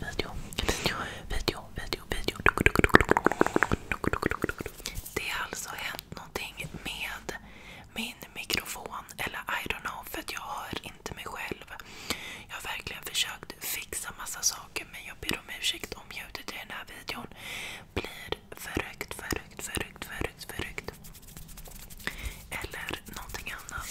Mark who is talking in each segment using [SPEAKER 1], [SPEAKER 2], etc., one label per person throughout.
[SPEAKER 1] video, video, video, video, video. Det har alltså hänt någonting med min mikrofon. Eller I don't know, för att jag hör inte mig själv. Jag har verkligen försökt fixa massa saker men jag ber om ursäkt om ljudet i den här videon blir förryckt, förryckt, förryckt, förryckt, förryckt. Eller någonting annat.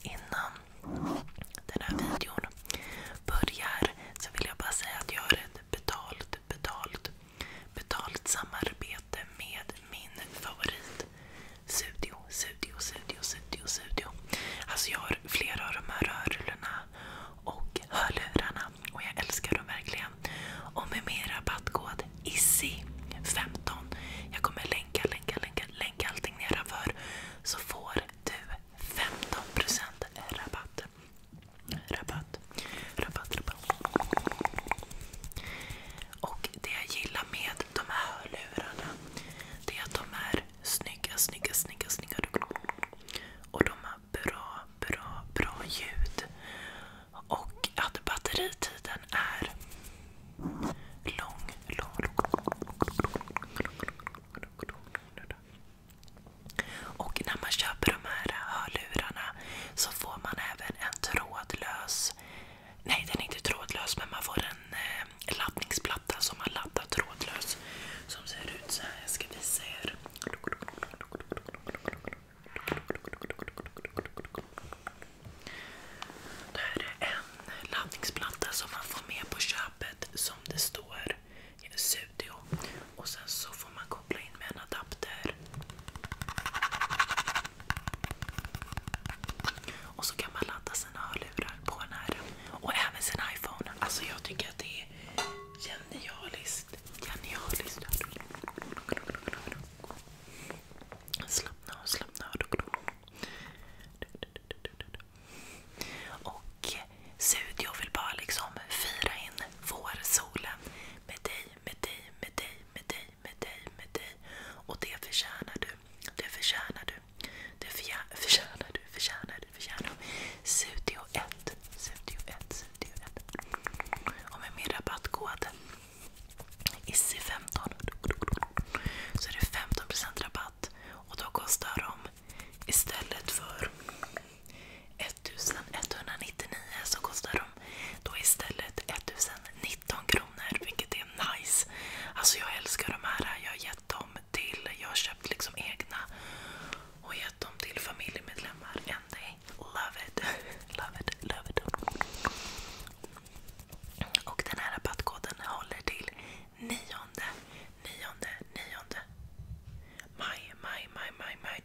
[SPEAKER 1] Innan, den här videon börjar så vill jag bara säga att jag har ett betalt, samarbete med min favorit alltså, jag har flera av de här rörlurarna och hörlurarna och jag älskar dem verkligen. Och med min rabattkod ISSI15. Jag kommer länka, länka, länka, länka allting nedanför. Så får du 15% rabatt. Rabatt, rabatt, rabatt. Och det jag gillar med de här hörlurarna det är att de är snygga, snygga, snygga, snygga. Och de har bra, bra, bra ljud. Och att batteritiden är lång, lång, lång, Och när man köper de här hörlurarna så får man även en trådlös, nej den är inte trådlös men man får en laddningsplatta som man laddar trådlös. Som ser ut så här. jag ska visa er. Det här är en laddningsplatta som man får med på köpet som det står Studio. Och sen så får man koppla in med en adapter. Och så kan man ladda sina hörlurar på den här. Och även sin iPhone. Alltså jag tycker att det är genialiskt faktiskt genialiskt. Slappna av, slappna av. Och eh, Studio vill bara liksom fira in vårsolen med dig, med dig, med dig, med dig, med dig, med dig. Och det förtjänar du. Det förtjänar du. Det förtjänar du, förtjänar du, förtjänar du. Studio 1, Studio 1, och med min rabattkod ISSI15 så är det 15% rabatt. Och då kostar de istället för 1199 så kostar de då istället 1019 kronor vilket är nice. Alltså jag älskar de här. Jag har gett dem till, jag har köpt liksom egna och gett dem till familjemedlemmar again. They love it. love it, love it. Och den här rabattkoden håller till 9, 9, 9, 9 maj, maj, maj, maj, maj.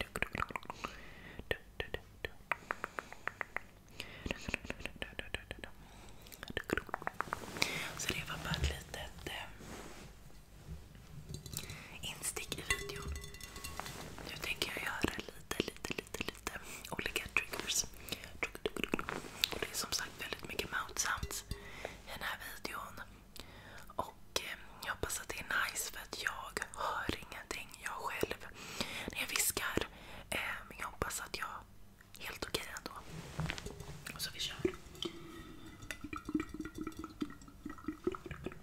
[SPEAKER 1] Så det var bara ett litet instick i videon. Nu tänker jag göra lite, lite, lite, lite olika triggers. Och det är som sagt väldigt mycket mouth sounds i den här videon. Och eh, jag hoppas att det är nice för att jag hör ingenting, jag själv, när jag viskar. Eh, men jag hoppas att jag är helt okej okay ändå. Och så vi kör.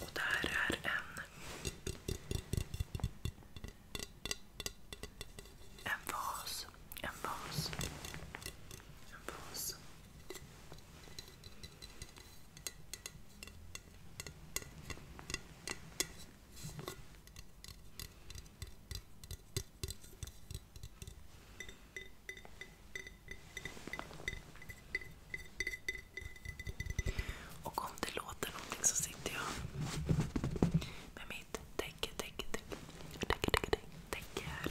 [SPEAKER 1] Och det här är en, en vas. En vas. En vas. Och om det låter någonting så sitter jag med mitt täcke, täcke, täcke, täcke, täcke, täcke här.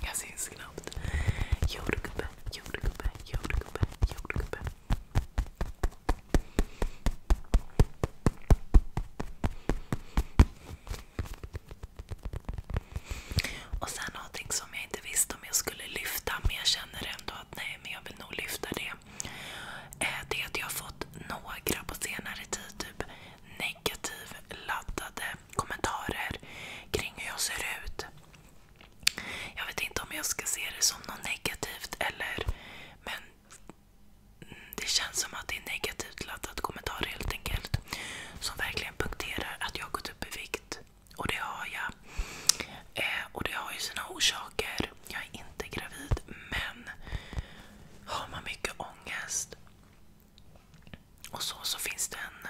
[SPEAKER 1] Jag syns knappt. Jordgubbe, jordgubbe, jordgubbe, jordgubbe. Och sen någonting som jag inte visste om jag skulle lyfta, men jag känner ändå att nej, men jag vill nog lyfta det. Det är att jag har fått några på senare tid typ negativ kommentarer kring hur jag ser ut. Jag vet inte om jag ska se det som något negativt eller... Men det känns som att det är negativt laddat kommentarer helt enkelt. Som verkligen punkterar att jag har gått upp i vikt. Och det har jag. Eh, och det har ju sina orsaker. Jag är inte gravid men har man mycket ångest och så, så finns det en,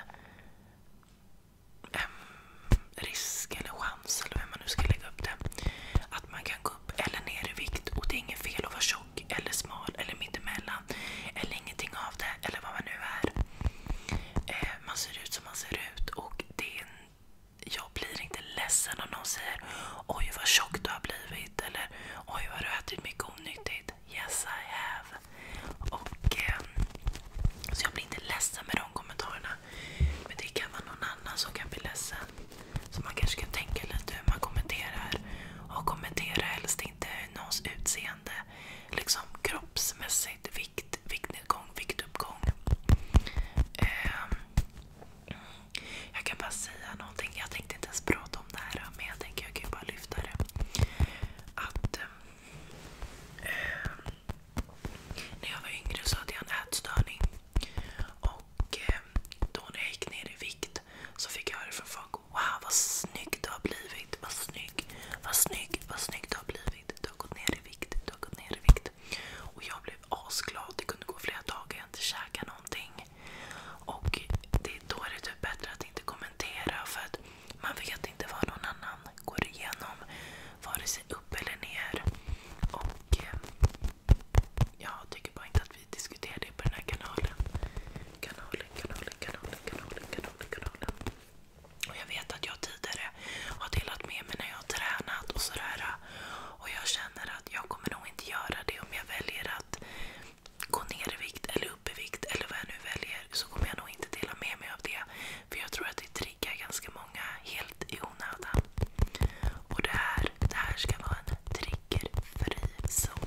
[SPEAKER 1] en risk eller chans, eller vem man nu ska lägga upp det, att man kan gå upp eller ner i vikt. Och det är inget fel att vara tjock eller smal eller mittemellan. Eller ingenting av det, eller vad man nu är. Eh, man ser ut som man ser ut. och det är en, Jag blir inte ledsen om någon säger oj vad tjock du har blivit. Eller oj vad du har ätit mycket onyttigt. Yes I have. Och, eh, så jag blir inte ledsen med de kommentarerna. Men det kan vara någon annan som kan bli ledsen. Så man kanske kan tänka lite hur man kommenterar. Och kommentera helst inte någons utseende. Liksom kroppsmässigt, vikt, viktnedgång, viktuppgång. Eh, jag kan bara säga någonting. Jag tänkte inte ens prata om det här men jag tänker jag kan ju bara lyfta det. Att eh, eh, när jag var yngre så hade jag en ätstörning. Och eh, då när jag gick ner i vikt så fick jag höra från folk Wow vad snygg du har blivit! Vad snygg! Vad snygg! Vad snygg du har blivit! Du har gått ner i vikt! Du har gått ner i vikt! Och jag blev asglad. Det kunde gå flera dagar jag inte käkade någonting. Och det, då är det typ bättre att inte kommentera för att man vet inte vad någon annan går igenom. Vare sig upp eller ner. Och eh, jag tycker bara inte att vi diskuterar det på den här kanalen. Kanalen, kanalen, kanalen, kanalen, kanalen, kanalen. Och jag vet att jag tidigare har delat med mig när jag har tränat och sådär. Och jag känner att jag kommer nog inte göra det om jag väljer att gå ner i vikt eller upp i vikt eller vad jag nu väljer så kommer jag nog inte dela med mig av det. För jag tror att det triggar ganska många helt i onödan. Och det här, det här ska vara en triggerfri zon.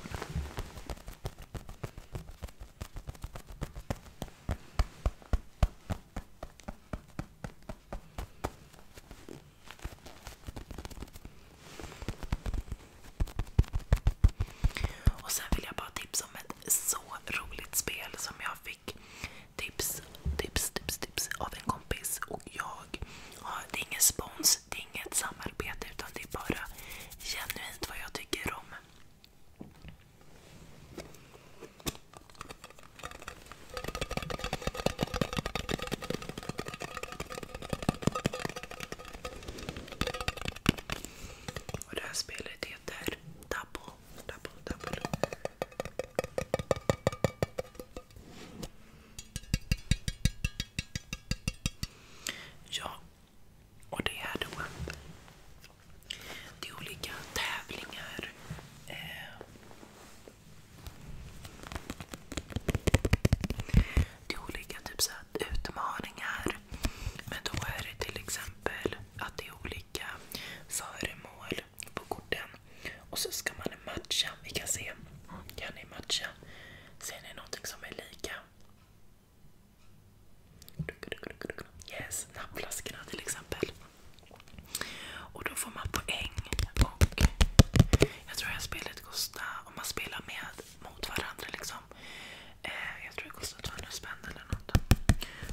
[SPEAKER 1] Och sen vill jag bara tipsa om ett så roligt spel som jag fick tips, tips, tips, tips av en kompis. Och jag, ja, det är ingen spons, det är inget samarbete utan det är bara genuint vad jag tycker om. Och det här spelet heter Double, Double, Double. Ja, och det är då det är olika tävlingar. Eh, till olika typ utmaningar. Men då är det till exempel att det är olika föremål på korten. Och så ska man matcha. Vi kan se. Ser ni någonting som är lika? nappflaskorna till exempel. Och då får man poäng. jag spelar spelet kostade, om man spelar med mot varandra liksom. Eh, jag tror det kostar 200 spänn eller något.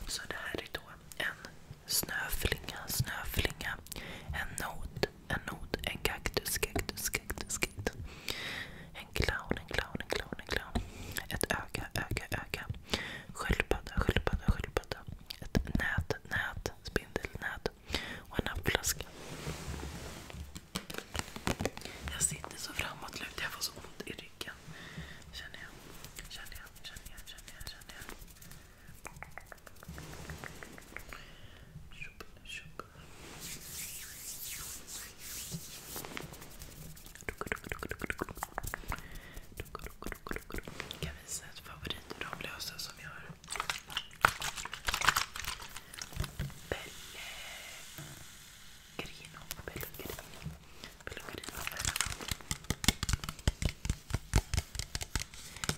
[SPEAKER 1] Så det här är då en snöflinga, snöflinga. En not, en not, en kaktus, kaktus, kaktus. En clown, en clown, en clown, en clown. Ett öga, öga, öga. Sköldpadda, sköldpadda, sköldpadda. Ett nät, nät, spindelnät, och en appflaska. Jag sitter så framåtlutad. Jag får så ont i ryggen. Känner jag. Känner jag. Känner jag. Känner jag. Känner jag. Tjup, Kan visa ett favoritramlösa som jag har. Pellegrino, pellegrino, pellegrino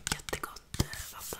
[SPEAKER 1] Jättegott vatten.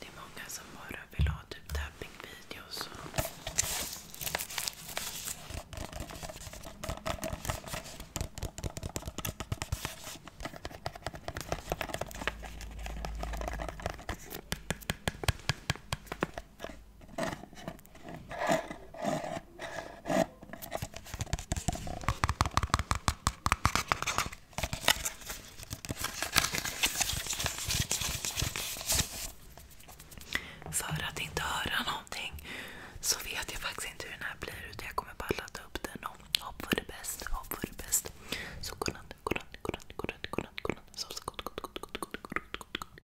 [SPEAKER 1] Det är många som bara vill ha typ tappingvideos och... För att inte höra någonting så vet jag faktiskt inte hur den här blir utan jag kommer bara ladda upp den och hopp för det bäst, hopp för det bäst. Så godnatt, godnatt, godnatt, godnatt, godnatt, godnatt. Sov så gott, gott, gott, gott, gott, gott, gott.